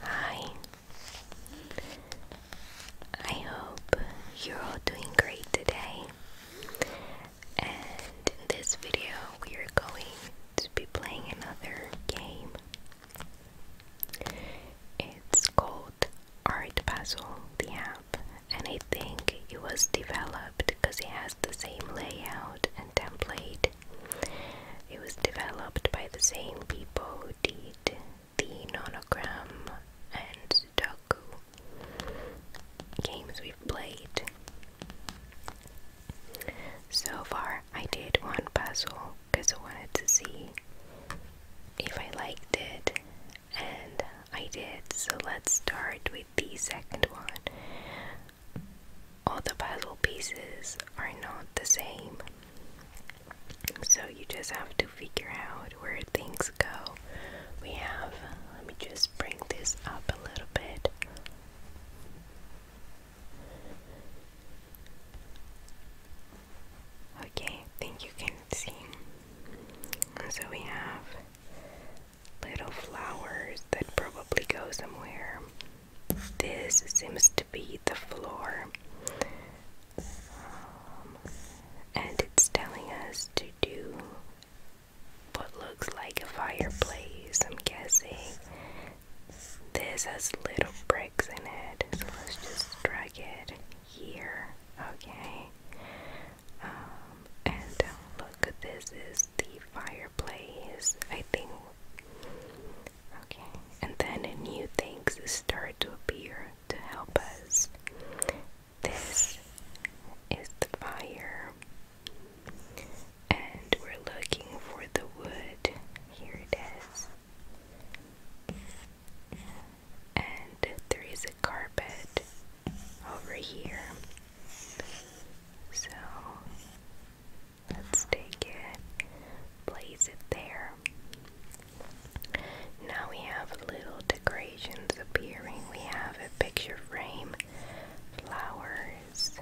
Hi, I hope you're all doing great today. And in this video, we are going to be playing another game. It's called Art Puzzle the app and I think it was developed because it has the same layout and template. It was developed by the same people who did the nonogram and Sudoku games we've played. So far, I did one puzzle because I wanted to see if I liked it, and I did. So let's start with the second one. All the puzzle pieces are not the same. So you just have to figure out where things go. We have, let me just bring this up a little bit. Okay, I think you can see. So we have little flowers that probably go somewhere. This seems to be the floor, um, and it's telling us to do what looks like a fireplace. I'm guessing this has little bricks in it, so let's just drag it here. Okay, um, and uh, look, this is the fireplace, I think. Okay, and then new things start to appear to help us. This is the fire, and we're looking for the wood. Here it is. And there is a carpet over here. So let's take it, place it there. Now we have little decorations appearing. We have a picture frame, flowers.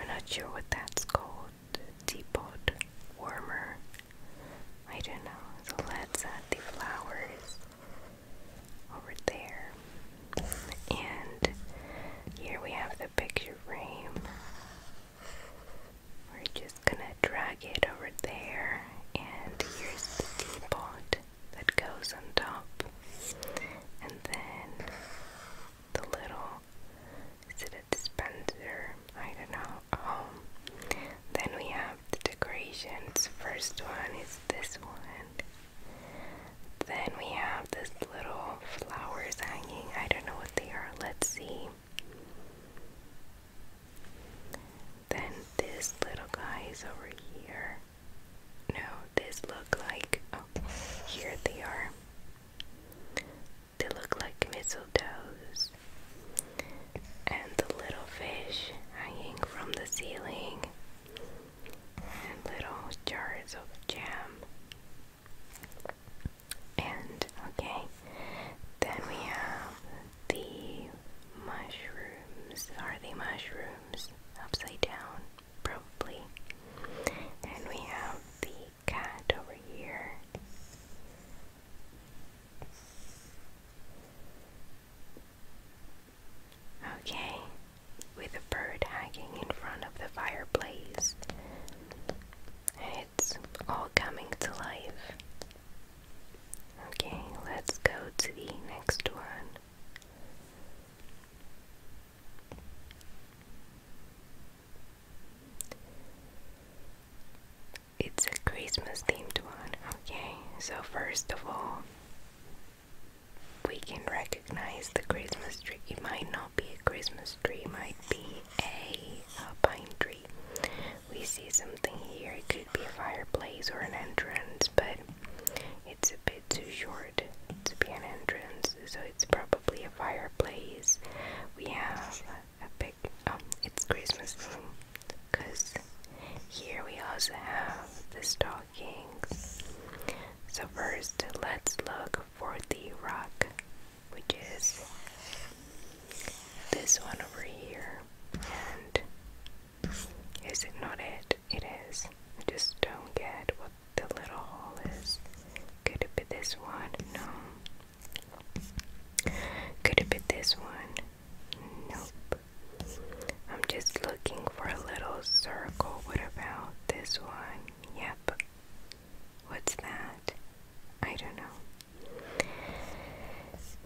I'm not sure what that's called. Teapot warmer. I don't know. So let's add the flowers over there. And here we have the picture frame. We're just gonna drag it over there, and here's the teapot that goes on top, and then the little is it a dispenser? I don't know. then we have the decorations. First one is this one. Then we have this little flowers hanging. I don't know what they are. Let's see. Then this little guy is over here. No, this look like oh here they are. They look like mistletoes. And the little fish hanging from the ceiling and little jars of jam. And okay, then we have the mushrooms. Are the mushrooms? Upside down, probably. And we have the cat over here. Okay, with a bird hanging in front of the fireplace. It's all coming to life. Okay, let's go to the next one. It's a Christmas themed one. Okay, so first of all, we can recognize the Christmas tree. It might not be a Christmas tree, it might be a, pine tree. We see something here, it could be a fireplace or an entrance, but it's a bit too short to be an entrance, so it's probably a fireplace. We have a big, oh, it's Christmas because here we also have this dog. So, first, let's look for the rock, which is this one over here. And is it not it? It is. I just don't get what the little hole is. Could it be this one? No. Could it be this one? Nope. I'm just looking for a little circle. What about this one? Yep. What's that? I don't know.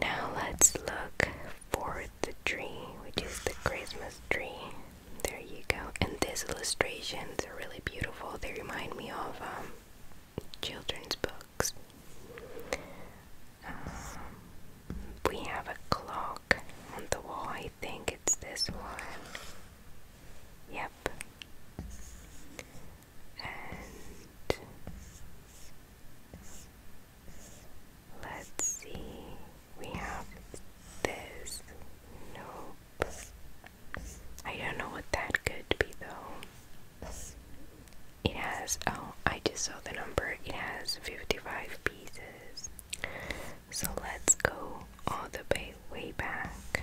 Now let's look for the tree, which is the Christmas tree. There you go. And these illustrations are really beautiful. They remind me of um, children's books. Um, we have a clock on the wall. I think it's this one. Yep. let's see. We have this. No. I don't know what that could be though. It has, oh, I just saw the number. It has 55 pieces. So let's go all the way, way back.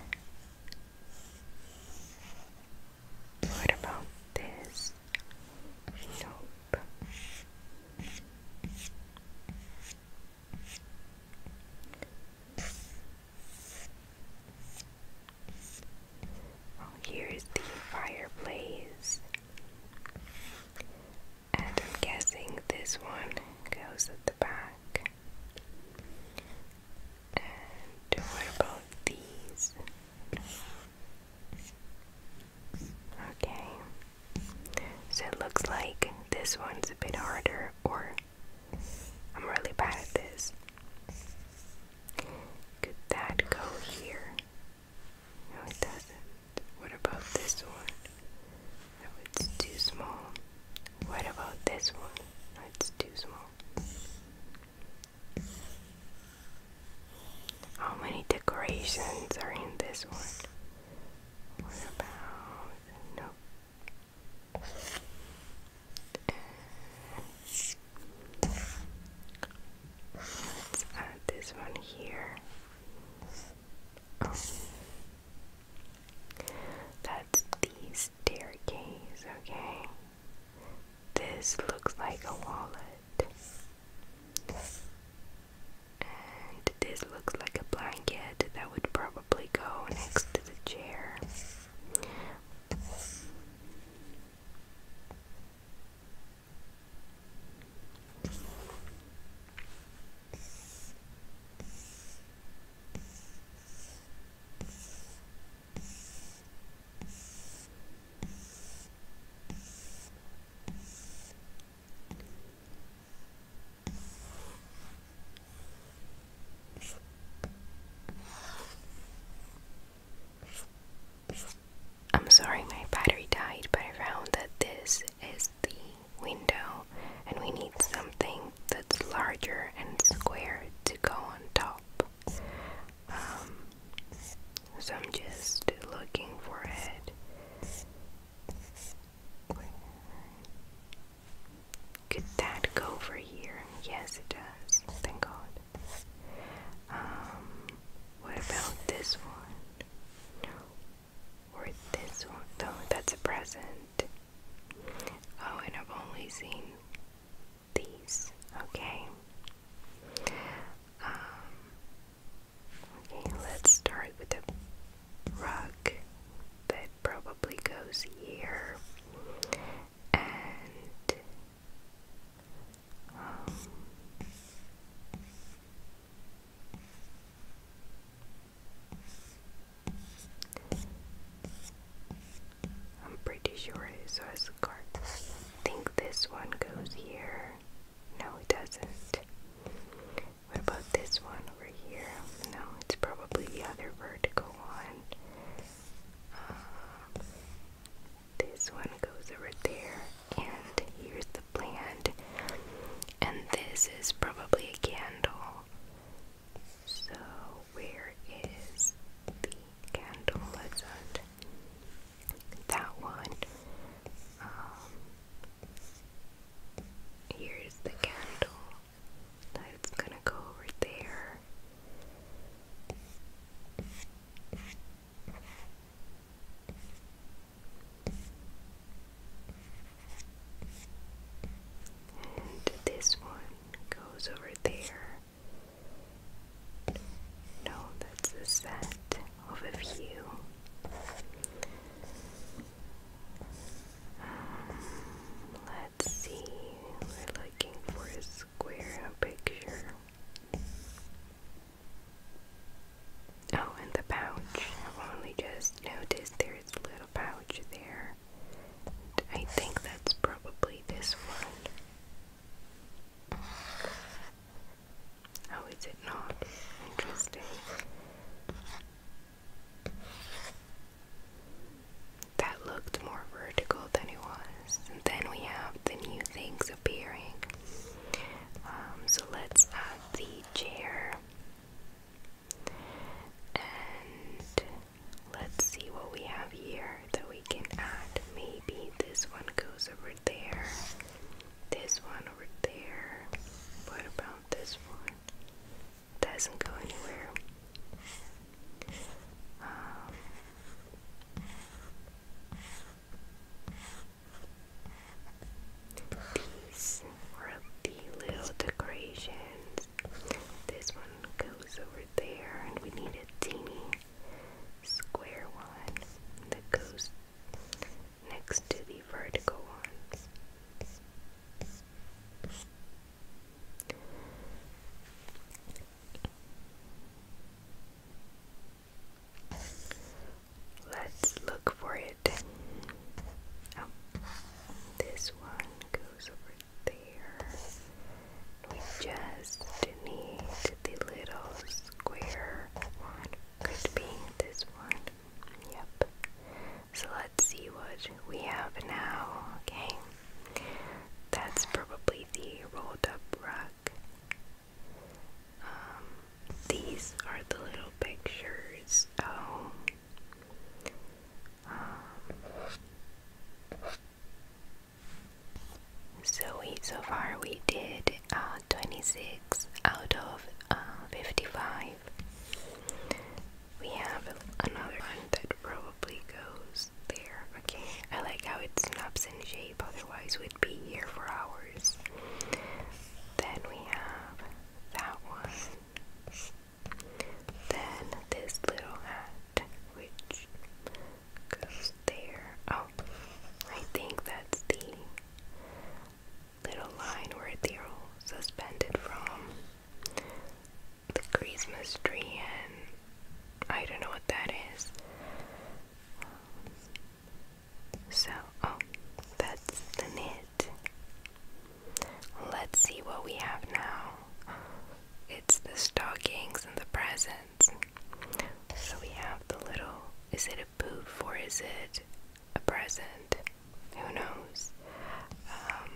What about this? Nope. Oh, here's the fireplace. And I'm guessing this one goes at the back. And what about these? Okay. So it looks like this one's a bit harder, or I'm really bad at this. Could that go here? No, it doesn't. What about this one? No, it's too small. What about this one? it's too small. How many decorations are in this one? What about... no. Let's add this one here. That's the staircase, okay? This looks like a wallet. And this looks like a blanket that would probably go next to the chair. I'm sorry, my battery died, but I found that this is the window and we need something that's larger and square to go on top. Um, so I'm just looking for it. Could that go over here? Yes, it does. Thank God. Um, what about this one? Or this one? No, that's a present. Oh, and I've only seen these. Okay. Um, okay, let's start with the rug that probably goes here. And um, I'm pretty sure it is a card. I think this one goes here. No, it doesn't. What about this one over here? No, it's probably the other vertical one. Uh, this one goes over there, and here's plant. And this is probably a candle. So, where is the candle? Let's that one. Um, here's the candle. That's gonna go over there. And this one goes over there. No, that's a set of a few. Um, let's see, we're looking for a square picture. Oh, and the pouch. I've only just noticed there's a little pouch there. I think that's probably this one. How oh, is it not? Interesting. That looked more vertical than it was. And then we have the new things appearing. Um, so let's add the chair. And let's see what we have here that we can add. Maybe this one goes over there, this one over there. What about this one? Doesn't go anywhere. Um, these were the little decorations. This one goes over there, and we need a teeny square one that goes next to the vertical one. Let's look for it. Oh, this one goes over there. We just need the little square one. Could be this one. Yep. So let's see what we have now. Okay. That's probably the rolled up rug. Um, these are the little pictures. Oh, so we so far we did uh, 26 out of uh, 55. We have another one that probably goes there. Okay, I like how it snaps in shape, otherwise, we'd be here for hours. Then we have that one. Then this little hat, which goes there. Oh, I think that's the little line where they're all suspended from the Christmas tree, and I don't know what that is. So, oh, that's the knit. Let's see what we have now. It's the stockings and the presents. So we have the little. Is it a boot or is it a present? Who knows? Um,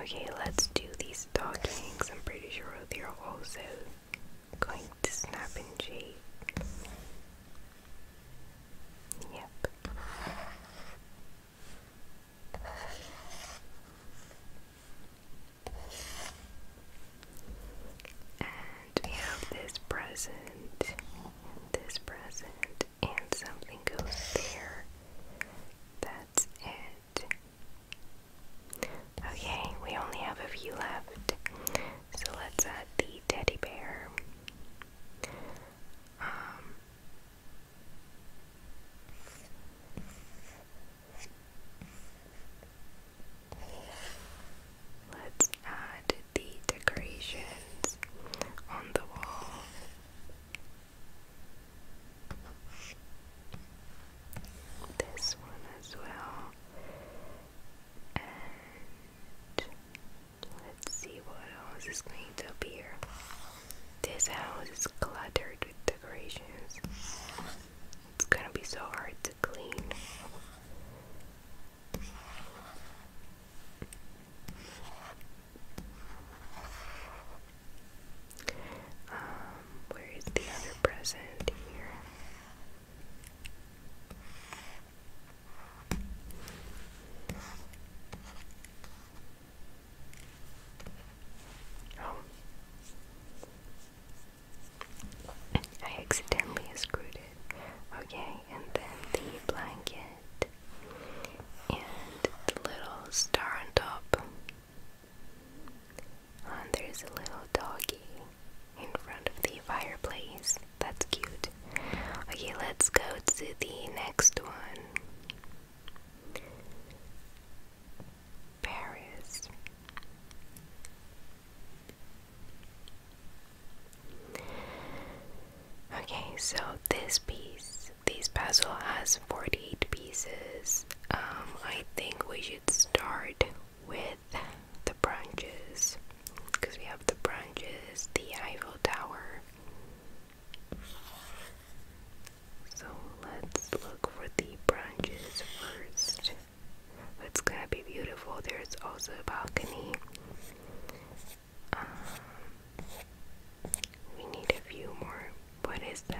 okay, let's do these stockings. I'm pretty sure they're also going to snap and shape. Yep. And we have this present, this present, and something goes there. That's it. Okay, we only have a few left. So let's add the teddy bear. Um, let's add the decorations on the wall. This one as well let's see what else is going to appear. This house is cluttered with decorations. It's gonna be so hard to clean. Um, where is the other present here? I accidentally screwed it. Okay, and then the blanket and the little star on top. And oh, there's a little doggy in front of the fireplace. That's cute. Okay, let's go to the next one. Paris. Okay, so this piece, this puzzle has 48 pieces. Um, I think we should start with the branches because we have the branches, the Eiffel Tower. So let's look for the branches first. It's gonna be beautiful. There's also a balcony. Um, we need a few more. What is that?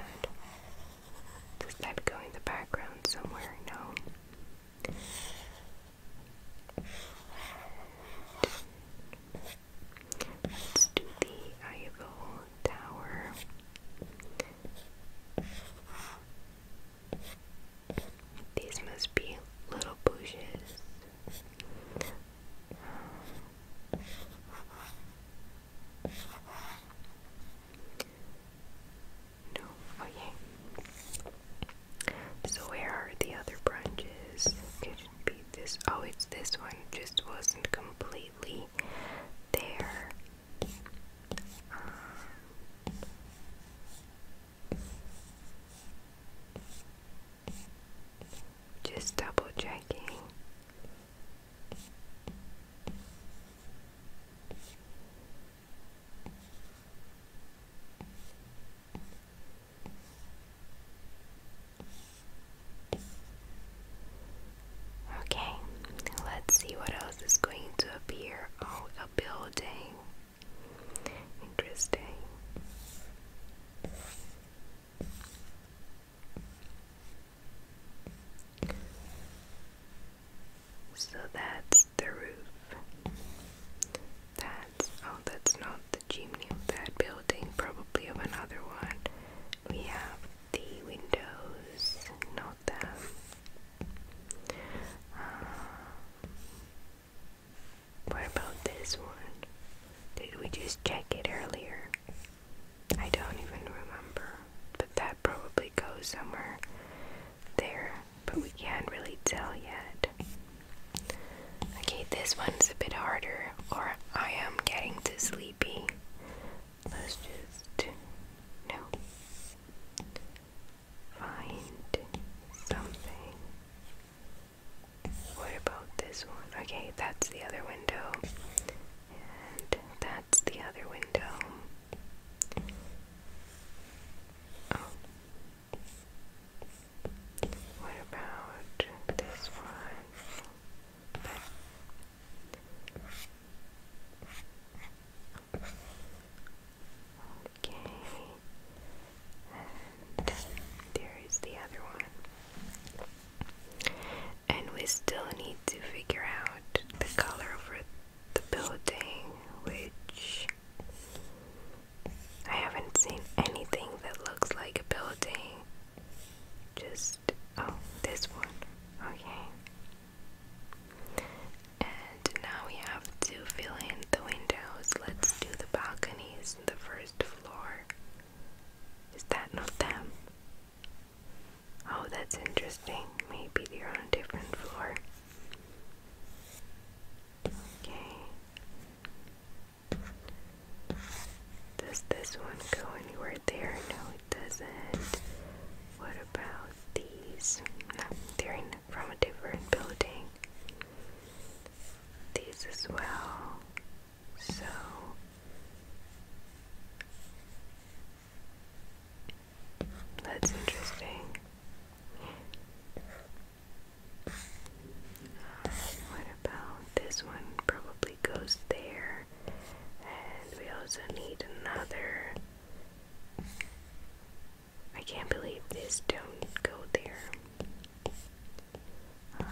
that go in the background somewhere? No. Let's do the Eiffel Tower. These must be little bushes. No, oh So where are the other branches? Could be this? Oh, it's this one. Just wasn't completely there. Um, just double checking. Okay, let's see what else is going to appear. Oh, a building. Interesting. So that's the roof. That's, oh, that's not the chimney of that building, probably of another one. We have the windows, not that. Uh, what about this one? Did we just check it earlier? I don't even remember, but that probably goes somewhere there, but we can't really tell yet. Okay, this one's a bit harder, or I am getting too sleepy. Let's just. No. Find something. What about this one? Okay, that's the other window. And that's the other window. Oh, what about this one? Okay, and there is the other one. And we still need to figure out the color for the building, which I haven't seen anything that looks like a building. Just, oh, this one. Okay. And now we have to fill in the windows. Let's do the balconies the first floor. Is that not them? Oh, that's interesting. Maybe they're on a different floor. Okay. Does this one go anywhere there? No, it doesn't. What about these? they're from a different building. These as well. So. That's interesting. What about this one? Probably goes there. And we also need another. I can't believe this don't go there. Um,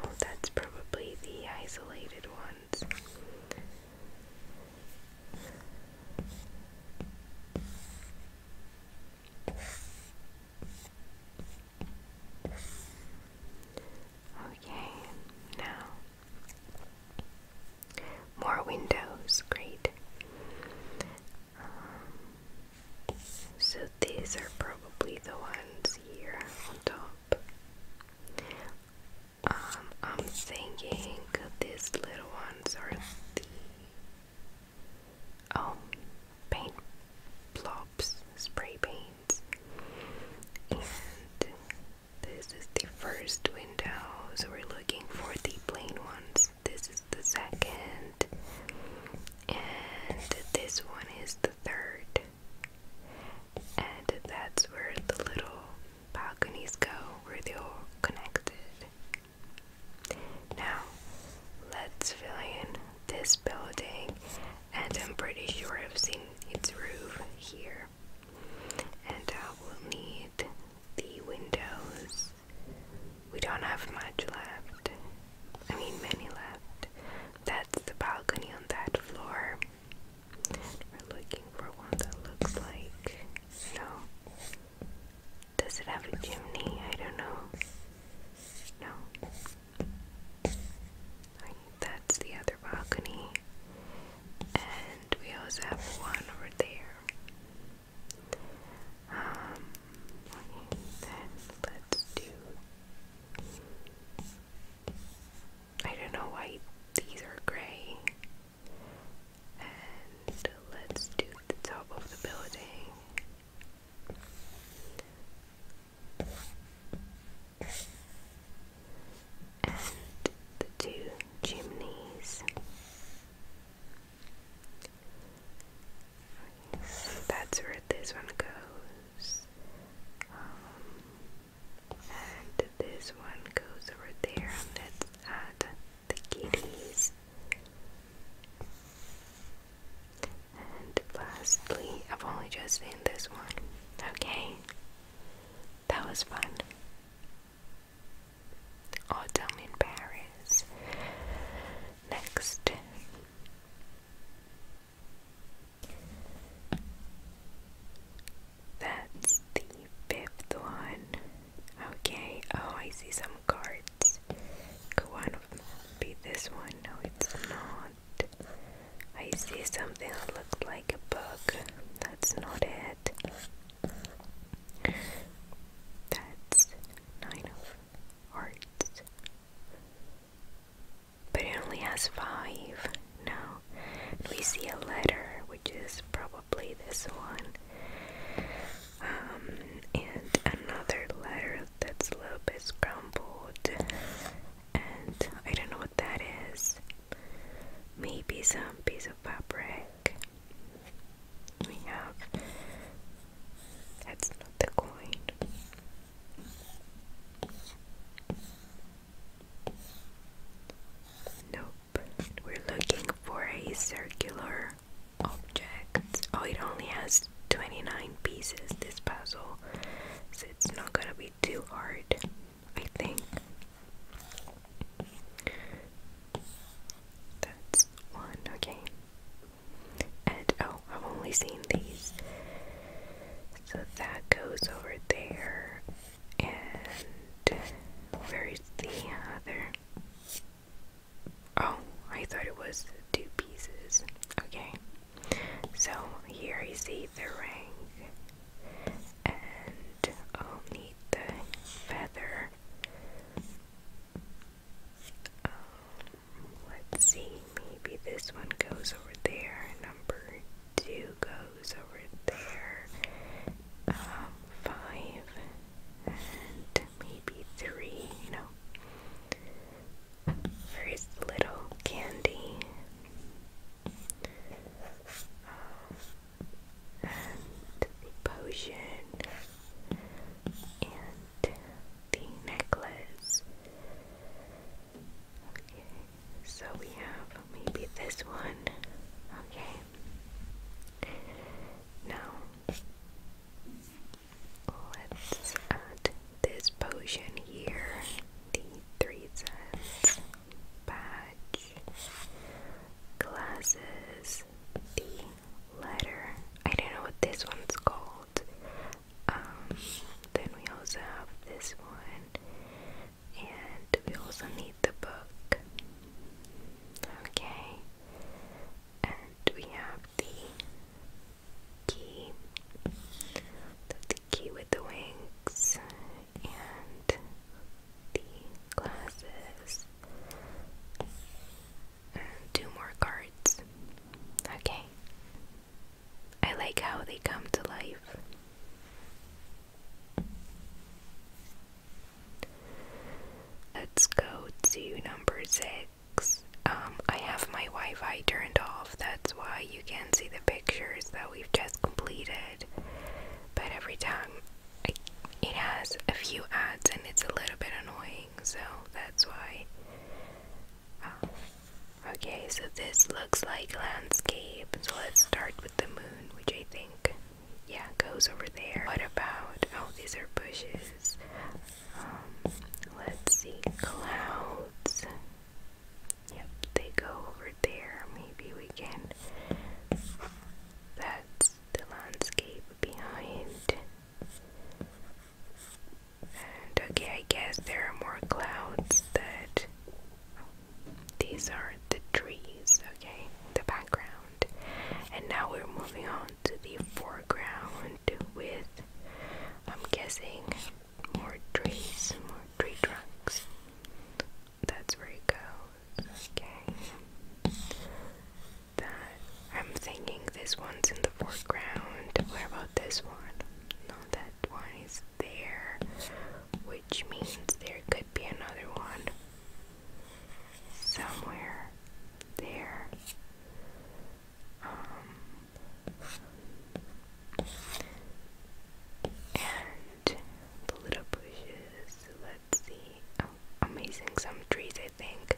Oh, that's probably the isolated ones. Okay, now more windows, great. Um, so these are probably the ones here on top. Um, I'm thinking these little ones are the oh paint blobs, spray paint. And this is the first window, so we're looking for the plain ones. This is the second, and this one is the third. And that's where the little balconies go, where they're all connected. Now, let's fill in this building, and I'm pretty sure I've seen its roof here. And I will need the windows. We don't have much left. I mean, many left. That's the balcony on that floor. We're looking for one that looks like. No. Does it have a chimney? I don't know. No. That's the other balcony. And we also have one over there. Um, then let's do. I don't know why these are gray. And let's do the top of the building and the two chimneys. Okay, so that's where this one goes. Um, and this one goes over there, and let's add the kitties. And lastly, I've only just seen this one. Okay. That was fun. Autumn in Paris. Next. That's the fifth one. Okay, oh, I see some cards. Could one of them be this one? No, it's not. I see something that looks like a book. That's not it. That's nine of hearts. But it only has five. No. we see a letter, which is probably this one. Um, and another letter that's a little bit scrambled and I don't know what that is. Maybe some piece of fabric. We that's not the coin. Nope. We're looking for a circular object. Oh, it only has 29 pieces, this puzzle. So it's not gonna we art, I think. That's one, okay. And oh, I've only seen these. So that goes over there. And where is the other? Oh, I thought it was two pieces. Okay. So here is you see the ring, and I'll need the feather. Um, let's see, maybe this one goes over there, number two goes over there, um, five, and maybe three, you know. First, little candy, and the potion and the necklace. Okay, so we have maybe this one. Okay, now let's add this potion here, the three cents badge, glasses, the letter. I don't know what this one's called. Um, then we also have this one, and we also need the book. Okay, and we have the key key with the wings and the glasses. And two more cards. Okay. I like how they come to life. Let's go to number six. Um, I have my Wi Fi turned off that's why you can see the pictures that we've just completed. But every time it has a few ads and it's a little bit annoying, so that's why. Ah. Okay, so this looks like landscape. So let's start with the moon, which I think, yeah, goes over there. What about, oh, these are bushes. Um, let's see, clouds. Yep, they go over there. Maybe we can. That's the landscape behind. And okay, I guess there are more clouds that. These are the trees, okay? The background. And now we're moving on to the foreground with, I'm guessing, more trees, more tree trunks. That's where it goes. Okay. I'm thinking this one's in the foreground. Where about this one? No, that one is there. Which means there could be another one. Somewhere there. Um, and the little bushes, let's see. Oh, some trees, I think.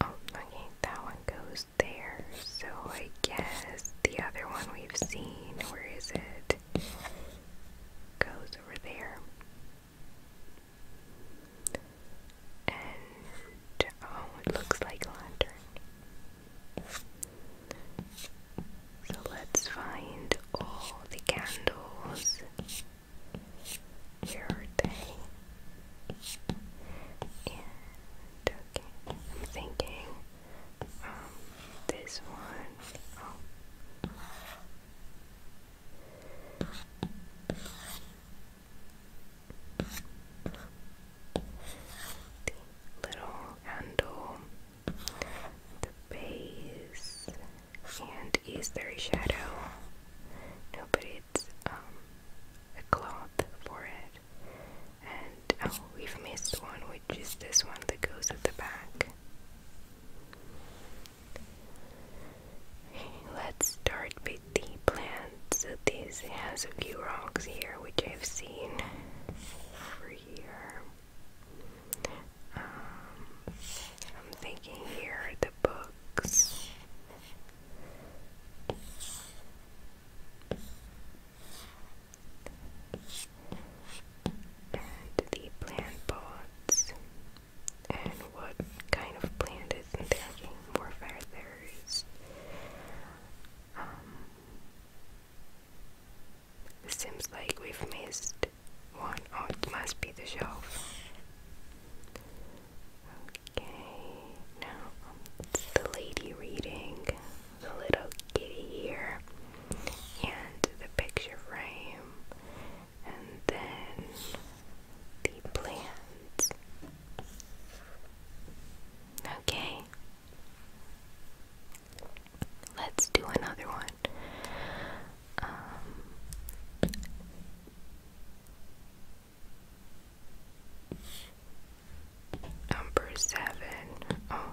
Oh, okay, that one goes there. So I guess the other one we've seen, where is it? Goes over there. And oh, it looks like a lantern. So let's find all the candles. Where are they? okay, I'm thinking um, this one. Oh the little handle, the base, and is there a shadow? No, but it's um, a cloth for it. And oh, we've missed one, which is this one that goes at the back. Let's start with the plants. So this has a few rocks here, which I've seen over here. Um, I'm thinking here are the books. And the plant pots and what kind of plant is attacking warfare there is. Um, seems like we've missed one. Oh, it must be the shelf. Okay, now it's um, the lady reading, the little kitty here, and the picture frame, and then the plants. Okay. Let's do another one. Um, number seven. Oh,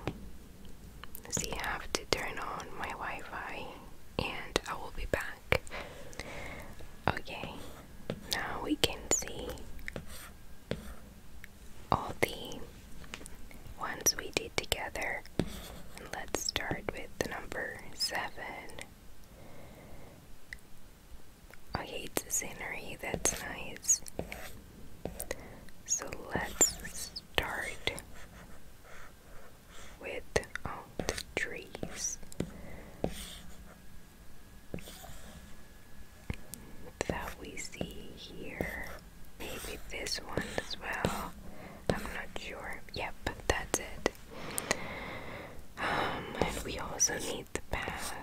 so you have to turn on my Wi Fi, and I will be back. Okay, now we can see all the ones we did together. And let's start with the number seven. Okay, it's scenery, that's nice. So let's start with all um, the trees that we see here. Maybe this one as well. I'm not sure. Yep, that's it. Um, and we also need the path.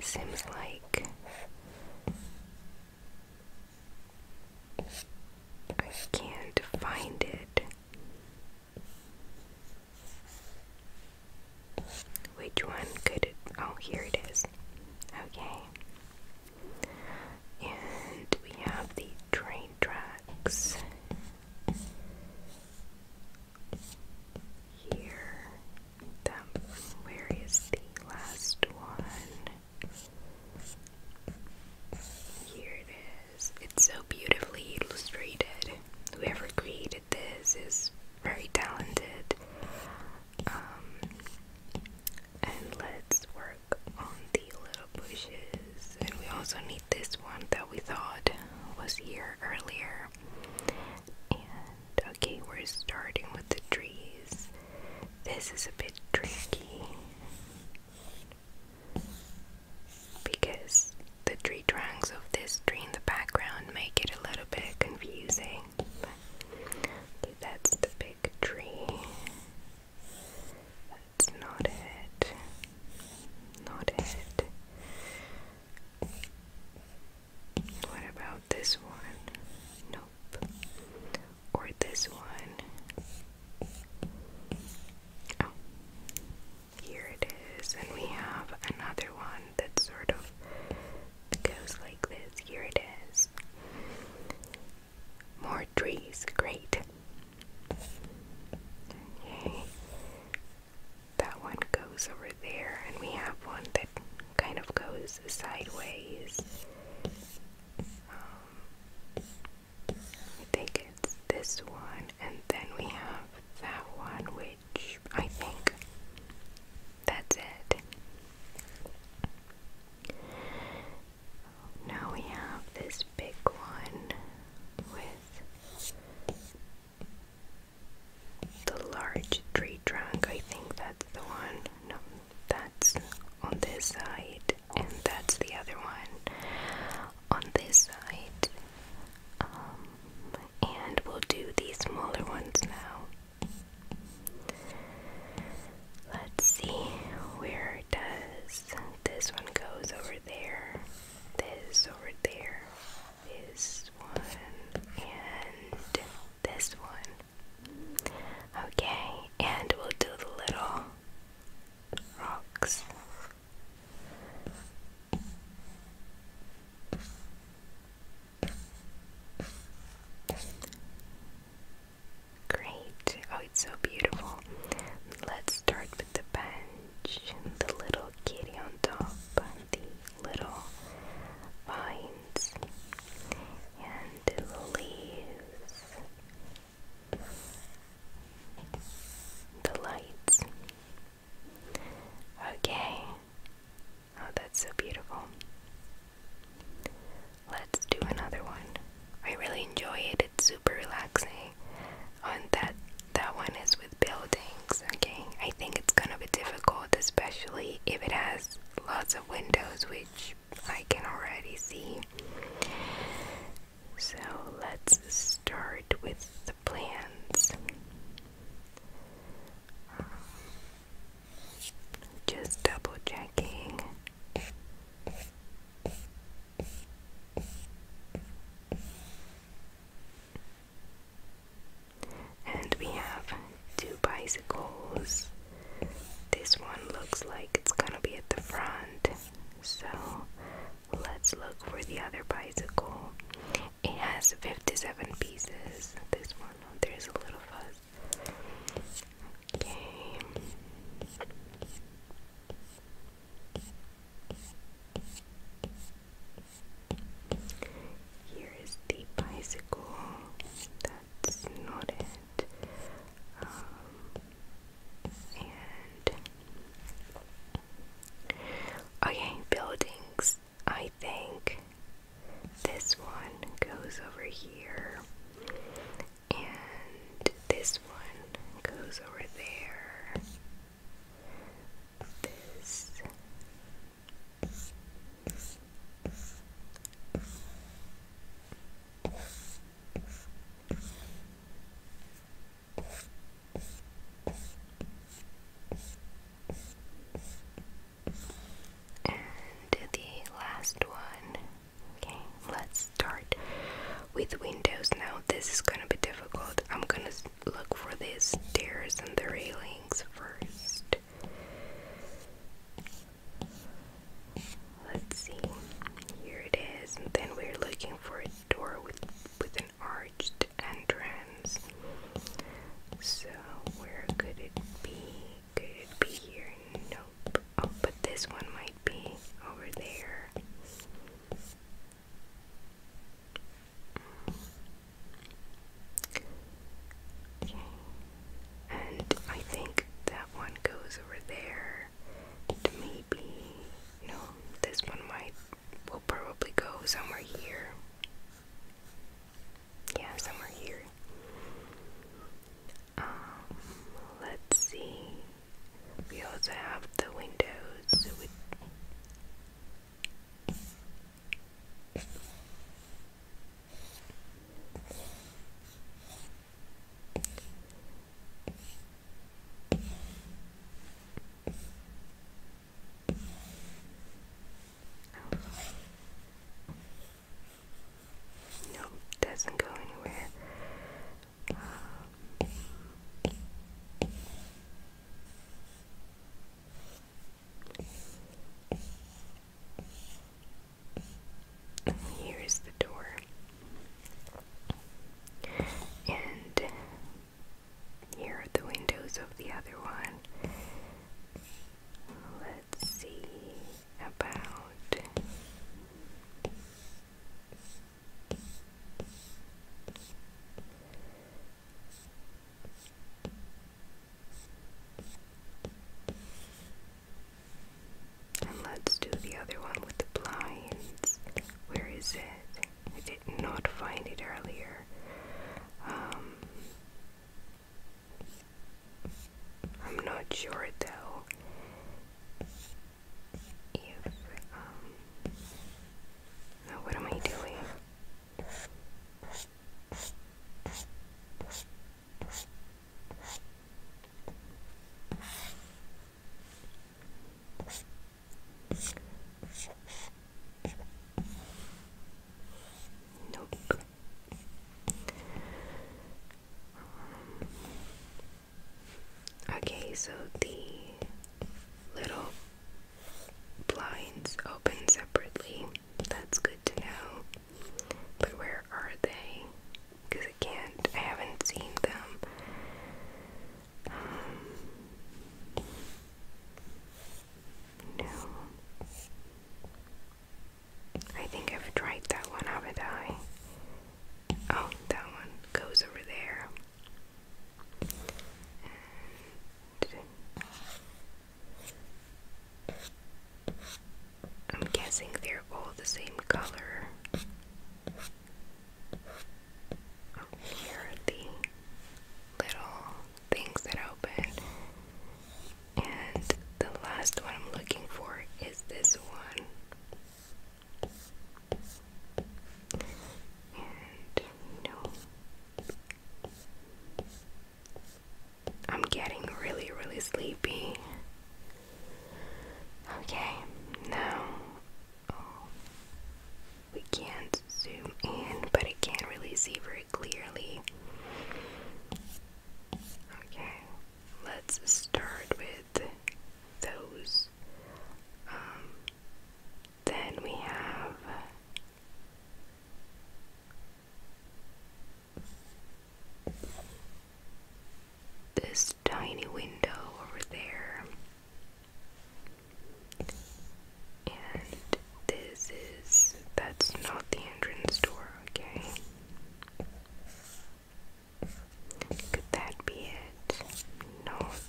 It seems like I can't find it. Which one could Oh, here it is. Okay. And we have the train tracks here. Where is the last one? Here it is. It's so beautifully illustrated. Whoever created this is very talented. Um, and let's work on the bushes. And we also need this one that we thought was here earlier. And okay, we're starting with the trees. This is a bit tricky because the tree trunks of this tree in the background make it a little bit confusing. But that's the big tree that's not it. Not it. What about this one? Nope. Or this one. Oh. Here it is. And we have another one that sort of goes like this. Here it is. More trees. Great. Okay. That one goes over there, and we have one that kind of goes sideways. Um, I think it's this one, and then we have that one, which I think that's it. Now we have this big one with the large tree trunk, I think that's the one. No, that's on this side, and that's the other one on this side. Um, and we'll do the smaller ones now. Let's see, where does this one goes over there? this over there is one, and this one. Okay, and we'll do the little rocks. Great. Oh, it's so beautiful. Let's start with the pen the little kitty on top, and the little vines, and the leaves, the lights. Okay, oh, that's so beautiful. Let's do another one. I really enjoy it. It's super relaxing. Oh, that that one is with buildings. Okay, I think it's gonna be difficult, especially if it has lots of windows, which I can already see. So let's start with the plans. just double checking. And we have two bicycles. This one looks like it's gonna be at the front, so let's look for the other bicycle. It has 57 pieces. This one, oh, there's a little fuzz. Okay. Here is the bicycle that's knotted, um, okay, buildings. I think this one goes over here, and this one goes over there and the last one. Okay, let's start with windows now. This is gonna be difficult. I'm gonna look for the stairs and the railings first. Let's see. Here it is, then we're looking for a door with with an arched entrance. So where could it be? Could it be here? Nope. Oh, but this one might be over there. Okay. And I think that one goes over there. maybe no, this one might will probably go somewhere here. Yeah, somewhere here. Um, let's see. We also have the windows no, doesn't go anywhere. Um, here is the door. And here are the windows of the other one. Let's see about and let's do the other one with the blinds. Where is it? did not find it earlier. Um, I'm not sure though if um, what am I doing? Nope. okay, so the little blinds open separately. That's good to know. But where are they? Because I can't, I haven't seen them. Um, no. I think I've tried that one, haven't I? Oh, that one goes over there. I'm guessing they're all the same color. Oh, here the little things that open. And the last one I'm looking for is this one. I'm getting really, really sleepy. Okay, now oh, we can't zoom in, but I can't really see very clearly. Okay, let's start with those um, then we have this tiny window over there, and this is that's not the entrance door, okay? Could that be it? Not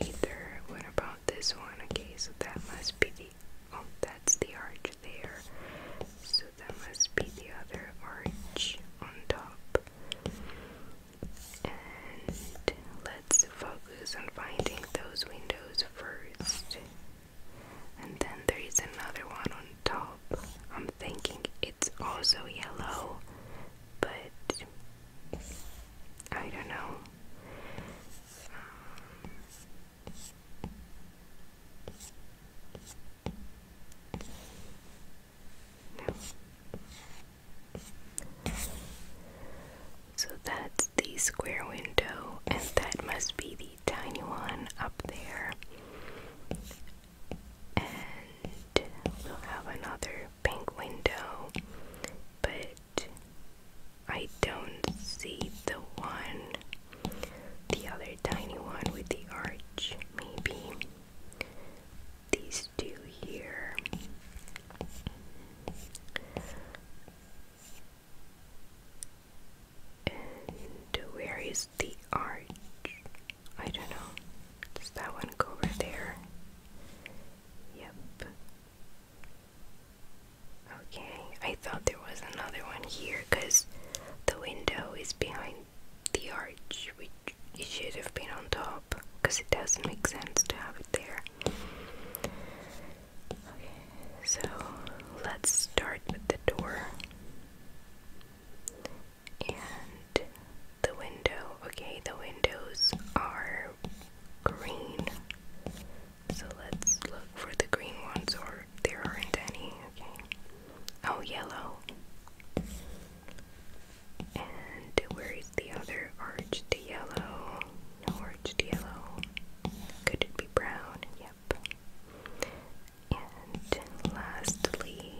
either. What about this one? Okay, so that must be the oh, that's the arch there. So that must be the other arch on top. And let's focus on finding those windows first. And then there is another one on top. I'm thinking it's also yellow, but I don't know. So that's the square window, and that must be the tiny one up there. And we'll have another pink window, but I don't see the one, the other tiny one with the arch, maybe. These two here. And where is the arch? I don't know. Does that one go over there? Yep. Okay, I thought there was another one here because the window is behind the arch, which should have been on top because it doesn't make sense to have it there. Okay, so let's start with the door and the window. Okay, the windows are green. So let's look for the green ones, or there aren't any. Okay. Oh, yellow. And where is the other arch to yellow? No arch to yellow. Could it be brown? Yep. And lastly,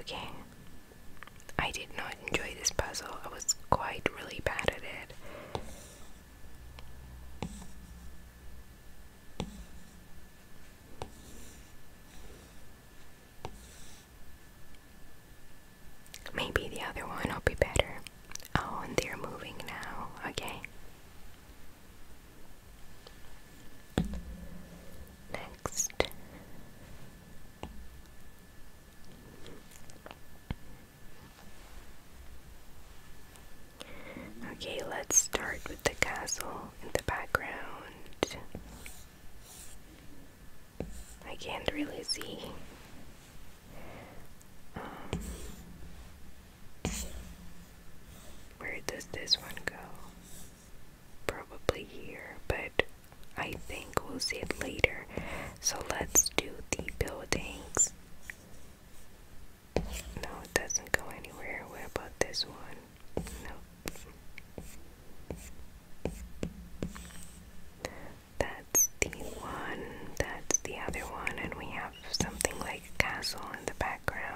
Okay. I did not enjoy this puzzle. I was quite really bad at it. Maybe the other one will be better. Oh, and they're moving now. Okay. Next. Okay, let's start with the castle in the background. I can't really see. Um, where does this one go? Probably here, but I think we'll see it later. So let's do the buildings. No, it doesn't go anywhere. Where about this one? No, that's the one, that's the other one, and we have something like castle in the background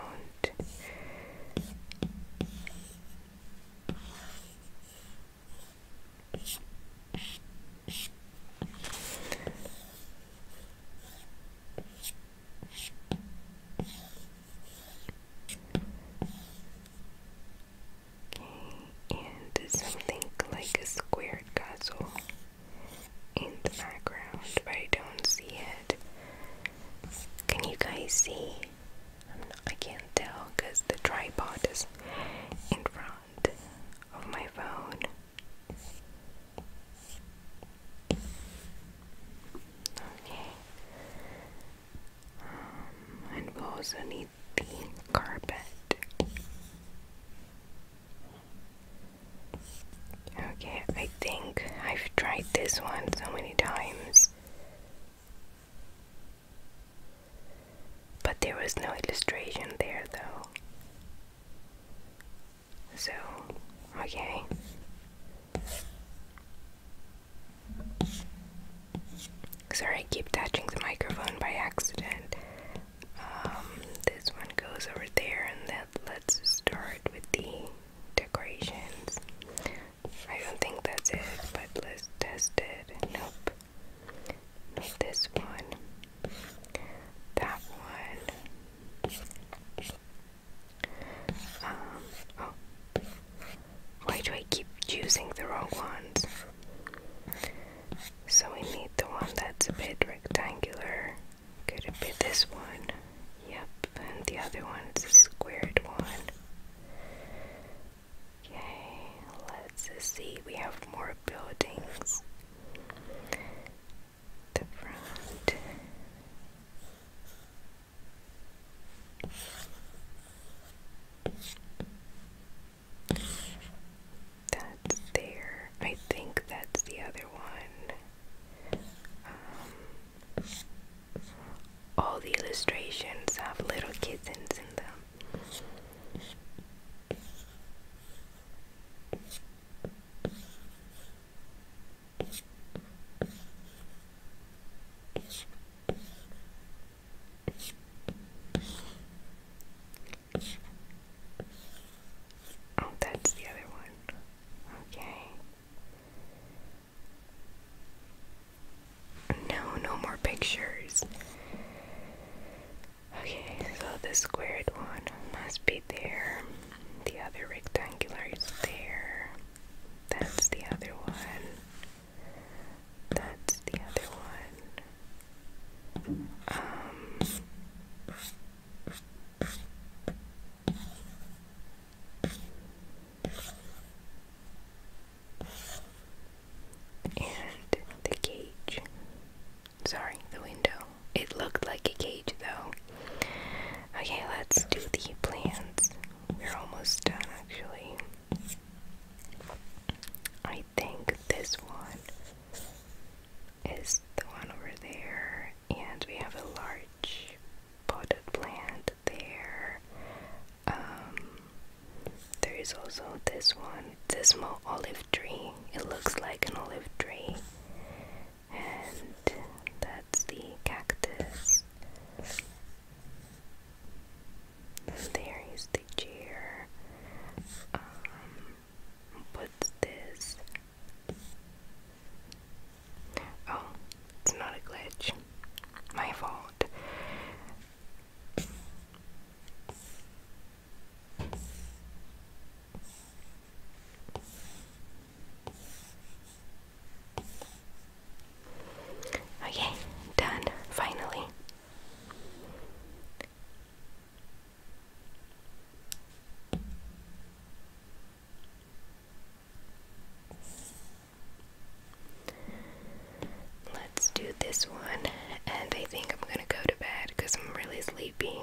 and something like a squared castle in the background, but I don't see it. Can you guys see? i I can't tell because the tripod is in front of my phone. Okay, um, and we also need the carpet. Okay, I think I've tried this one so many times. But there was no illustration there though. So, okay. Sorry, I keep touching the microphone by accident. Um, this one goes over there, and that let's start with the decorations. I don't think that's it, but let's test it. Nope. this one. That one. Um, oh. Why do I keep choosing the wrong ones? So we need the one that's a bit rectangular. Could it be this one? Yep, and the other one's a squared one. Okay, let's see. We have more buildings. The front. That's there. I think that's the other one. Um, all the illustrations have little kittens in them. Oh, that's the other one. Okay. No, no more pictures. Okay, so the squared one must be there. The other rectangular is there. That's the other one. That's the other one. Um, and the cage. Sorry, the window. It looked like a cage though. Okay, let's do the plants. We're almost done actually. I think this one is the one over there, and we have a large potted plant there. Um, there is also this one, this small olive tree. It looks like an olive tree, and that's the cactus. The stairs, the chair. Um, what's this? Oh, it's not a glitch. My fault. Okay, done, finally. Let's do this one, and I think I'm gonna go to bed because I'm really sleepy.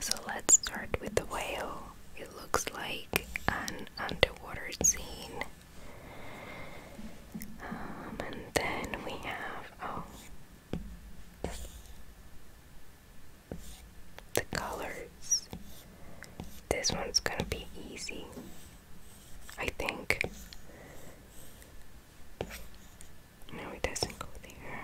So let's start with the whale. It looks like an underwater scene and then we have, oh, the colors. This one's gonna be easy, I think. No, it doesn't go there.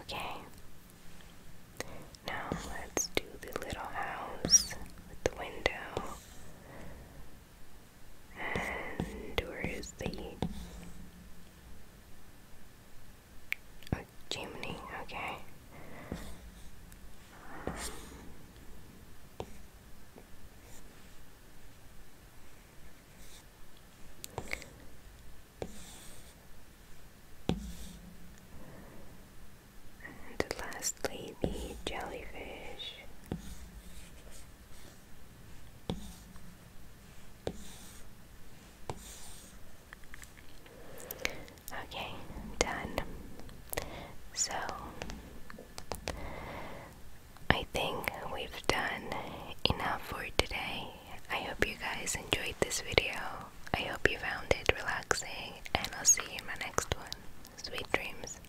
Okay. Now let's do the little house with the window. And where is the oh, chimney? Okay. and lastly, the jellyfish. Okay, done. So I think we've done enough for today. I hope you guys enjoyed this video. I hope you found it relaxing, and I'll see you in my next one. Sweet dreams.